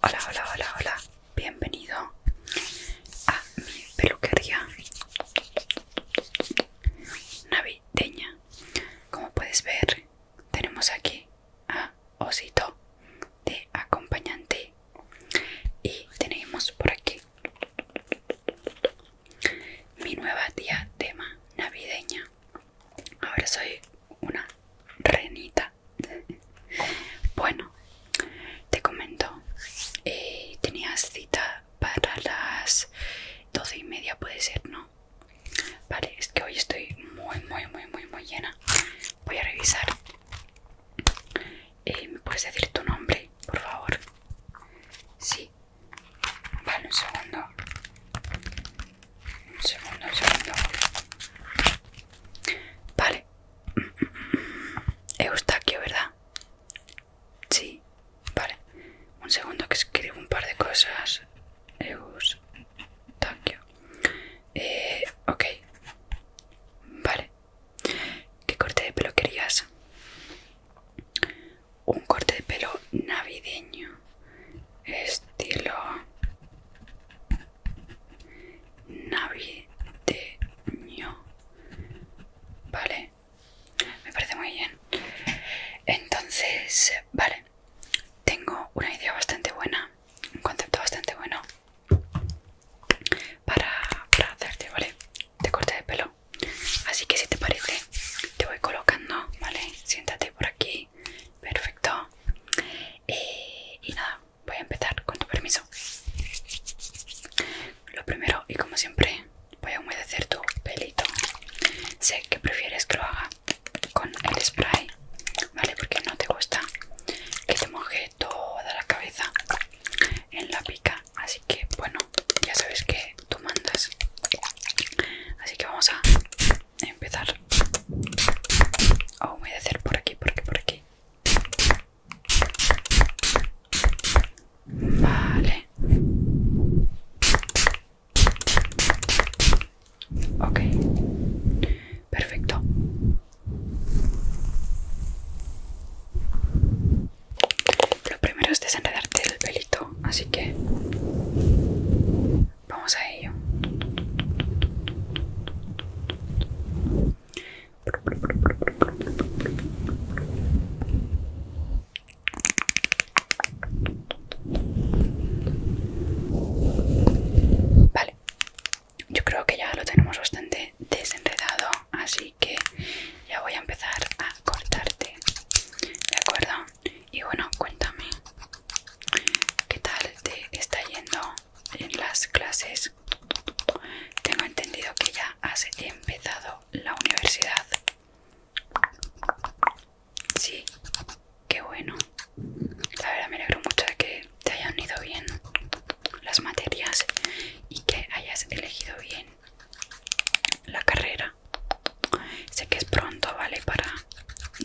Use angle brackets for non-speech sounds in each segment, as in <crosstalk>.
Hola, hola, hola, hola. Bienvenido a mi peluquería navideña. Como puedes ver, tenemos aquí a Osito de acompañante y tenemos por aquí mi nueva tía diadema navideña. Ahora soy una renita. Bueno, te comento. Eh, tenías cita para las doce y media, puede ser, ¿no? Vale, es que hoy estoy muy, muy, muy, muy, muy llena. Voy a revisar. Eh, ¿Me puedes decir tu nombre, por favor? Sí, Vale, un segundo. Un segundo, un segundo. Vale. Eustaquio, ¿verdad? Sí. Vale. Un segundo que escribo un par de cosas. Eustaquio. Eh, ok. Vale. ¿Qué corte de pelo querías? Un corte de pelo navideño, estilo navideño. Vale, me parece muy bien. Entonces, vale, tengo una idea bastante buena, un concepto bastante bueno para, hacerte, ¿vale? De corte de pelo. Así que si te parece, te voy colocando, ¿vale? Siéntate por aquí. Perfecto. Eh, y nada, voy a empezar con tu permiso. Lo primero, y como siempre, voy a humedecer tu pelito. Sé que prefieres que lo haga con el spray, ¿vale? Porque no te gusta que te moje toda la cabeza en la pica así que bueno ya sabes que tú mandas así que vamos a empezar a hacer por aquí por aquí por aquí vale ok perfecto lo primero es desenredarte el pelito, así que vamos a ello. Vale, yo creo que ya lo tenemos bastante desenredado, así que ya voy a empezar a cortarte, ¿de acuerdo? Y bueno, cuéntame, ¿qué tal te está yendo en las clases? Tengo entendido que ya has empezado la universidad. Sí, qué bueno. La verdad me alegro mucho de que te hayan ido bien las materias y que hayas elegido bien la carrera. Sé que es pronto, ¿vale? Para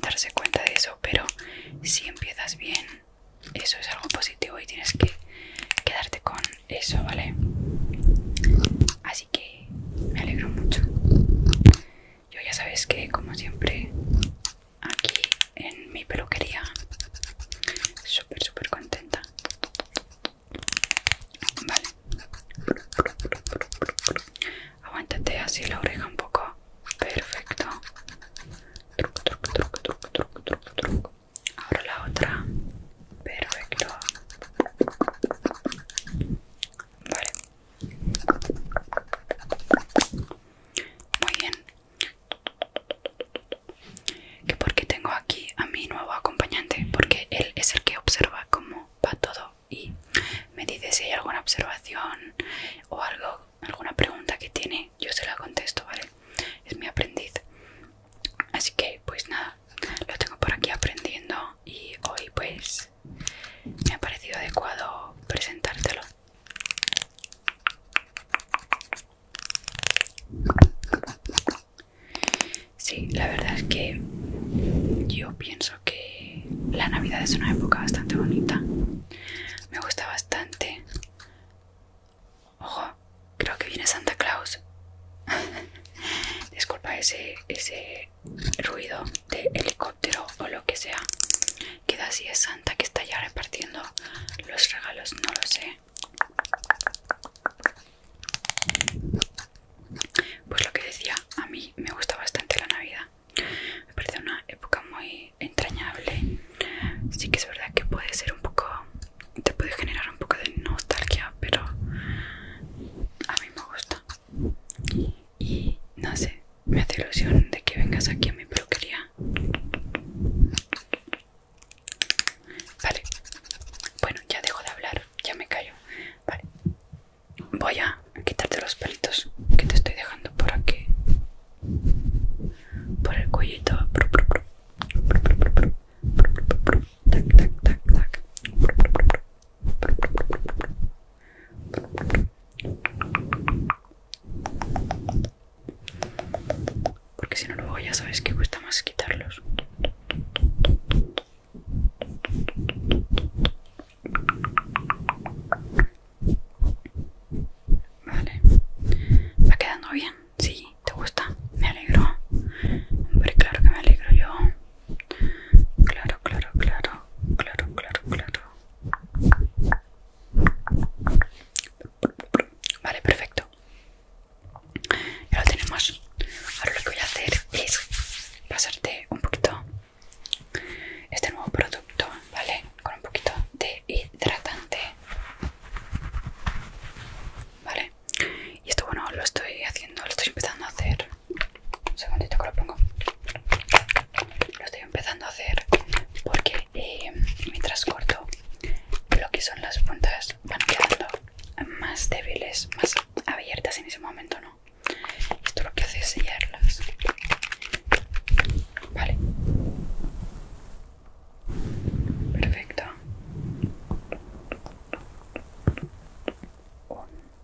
darse cuenta de eso, pero si empiezas bien, eso es algo positivo y tienes que quedarte con eso, ¿vale? Así que me alegro mucho. Yo ya sabes que, como siempre, aquí en mi peluquería súper súper contenta vale aguántate así la oreja un poco perfecto ahora la otra perfecto vale muy bien que porque tengo aquí a mi nuevo acompañante porque él es el que observa cómo va todo y me dice si hay alguna observación o algo alguna pregunta que tiene yo se la contesto vale es mi aprendiz así que pues nada lo tengo por aquí aprendiendo y hoy pues me ha parecido adecuado presentártelo Sí, la verdad es que yo pienso que la Navidad es una época bastante bonita. Me gusta bastante. Ojo, creo que viene Santa Claus. <laughs> Disculpa ese, ese ruido de helicóptero o lo que sea. Queda así es Santa que está ya repartiendo los regalos, no lo sé. Pues lo que decía, a mí me gusta bastante la Navidad. Me parece una época muy entrañable. Sí que es verdad que puede ser un poco... Te puede generar un poco de nostalgia, pero a mí me gusta. Y no sé, me hace ilusión de que vengas aquí a mi peluquería. Vale, bueno, ya dejo de hablar, ya me callo. Vale, voy a quitarte los pelitos que te estoy dejando por aquí, por el cuellito. Tac, tac, tac, tac. Porque si no luego ya sabes que cuesta más quitarlos. Vale. ¿Va quedando bien? Sí, ¿te gusta? Me alegro. Hombre, claro que me alegro yo. Claro, claro, claro, claro, claro, claro. Vale, perfecto. Ya lo tenemos. Ahora lo que voy a hacer es pasarte un poquito este nuevo producto, ¿vale? Con un poquito de hidratante. Vale. Y esto bueno, lo estoy haciendo, lo estoy empezando a hacer un segundito que lo pongo. Lo estoy empezando a hacer porque eh, mientras corto lo que son las puntas van quedando más débiles, más abiertas en ese momento, ¿no? Esto lo que hace es sellarlas. Vale. Perfecto.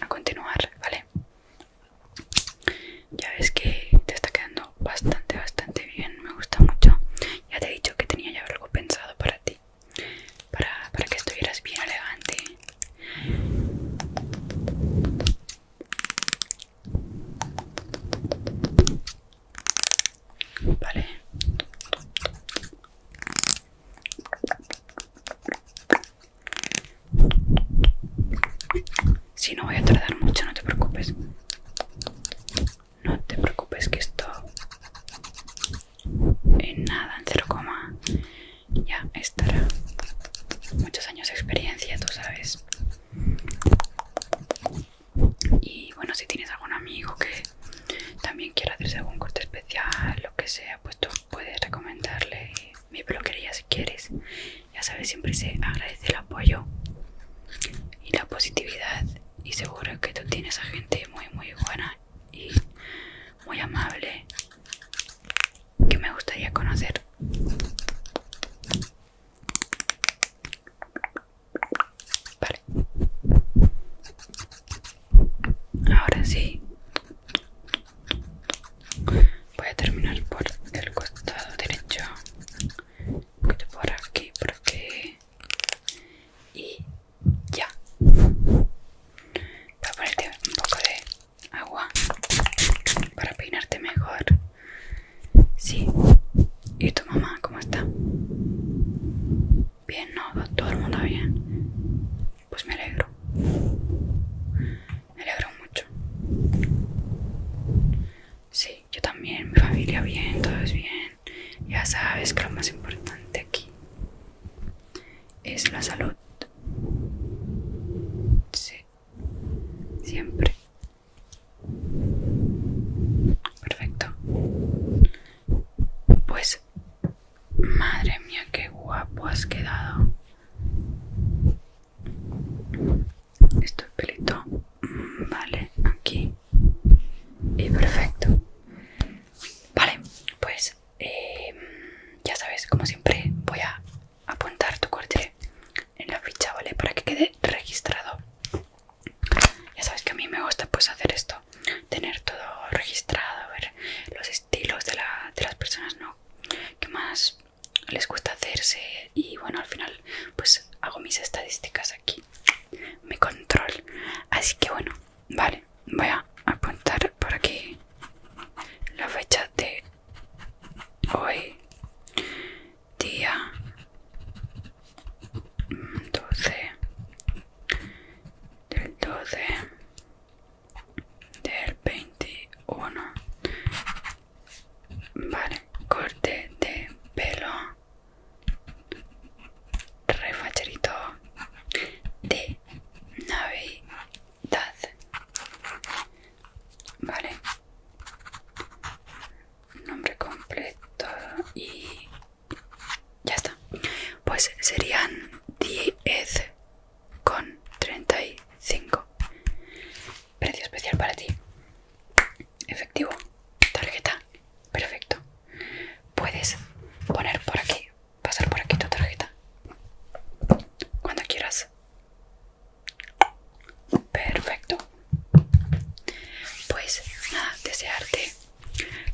a continuar, ¿vale? Ya ves que te está quedando bastante, bastante bien, me gusta mucho. Ya te he dicho que tenía ya algo pensado para ti, para, para que estuvieras bien elegante. Vale. Si no voy a tardar mucho, no te preocupes. No te preocupes que esto en nada, en 0, ya estará. Muchos años de experiencia, tú sabes. Y bueno, si tienes algún amigo que también quiera hacerse algún corte especial, lo que sea, pues tú puedes recomendarle mi peluquería si quieres. Ya sabes, siempre se agradece el apoyo y la positividad. Y seguro que tú tienes a gente muy, muy buena y muy amable que me gustaría conocer. Vale. Ahora sí. Voy a terminar por el costado derecho. Por aquí, por aquí. Y ya. Voy a ponerte un poco de agua para peinarte mejor Sí. ¿Y tu mamá cómo está? Bien, no, todo el mundo bien. Pues me alegro. Me alegro mucho. Sí, yo también, mi familia bien, todo es bien. Ya sabes que lo más importante aquí es la salud. Sí, siempre. Perfecto. Pues, madre mía, qué guapo has quedado. Esto pelito. Mm, vale, aquí. Y perfecto. Vale, pues eh, ya sabes, como siempre, voy a apuntar tu corte en la ficha, ¿vale? Para que quede registrado. Ya sabes que a mí me gusta pues hacer esto, tener todo registrado, ver los estilos de, de las personas ¿no? que más les gusta hacerse y bueno al final pues hago mis estadísticas aquí, mi control. Así que bueno, vale, voy a apuntar por aquí la fecha de hoy día 12 del 12 del 21 vale corte de pelo refacerito de navidad vale nombre completo y ya está pues serían 10 con 35 precio especial para ti efectivo tarjeta perfecto puedes poner por aquí pasar por aquí tu tarjeta cuando quieras Perfecto. Pues nada, desearte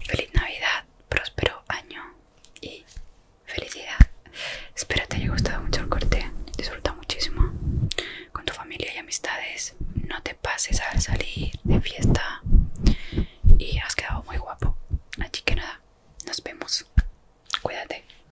feliz Navidad, próspero año y felicidad. Espero te haya gustado mucho el corte. Disfruta muchísimo con tu familia y amistades. No te pases al salir de fiesta y has quedado muy guapo. Así que nada, nos vemos. Cuídate.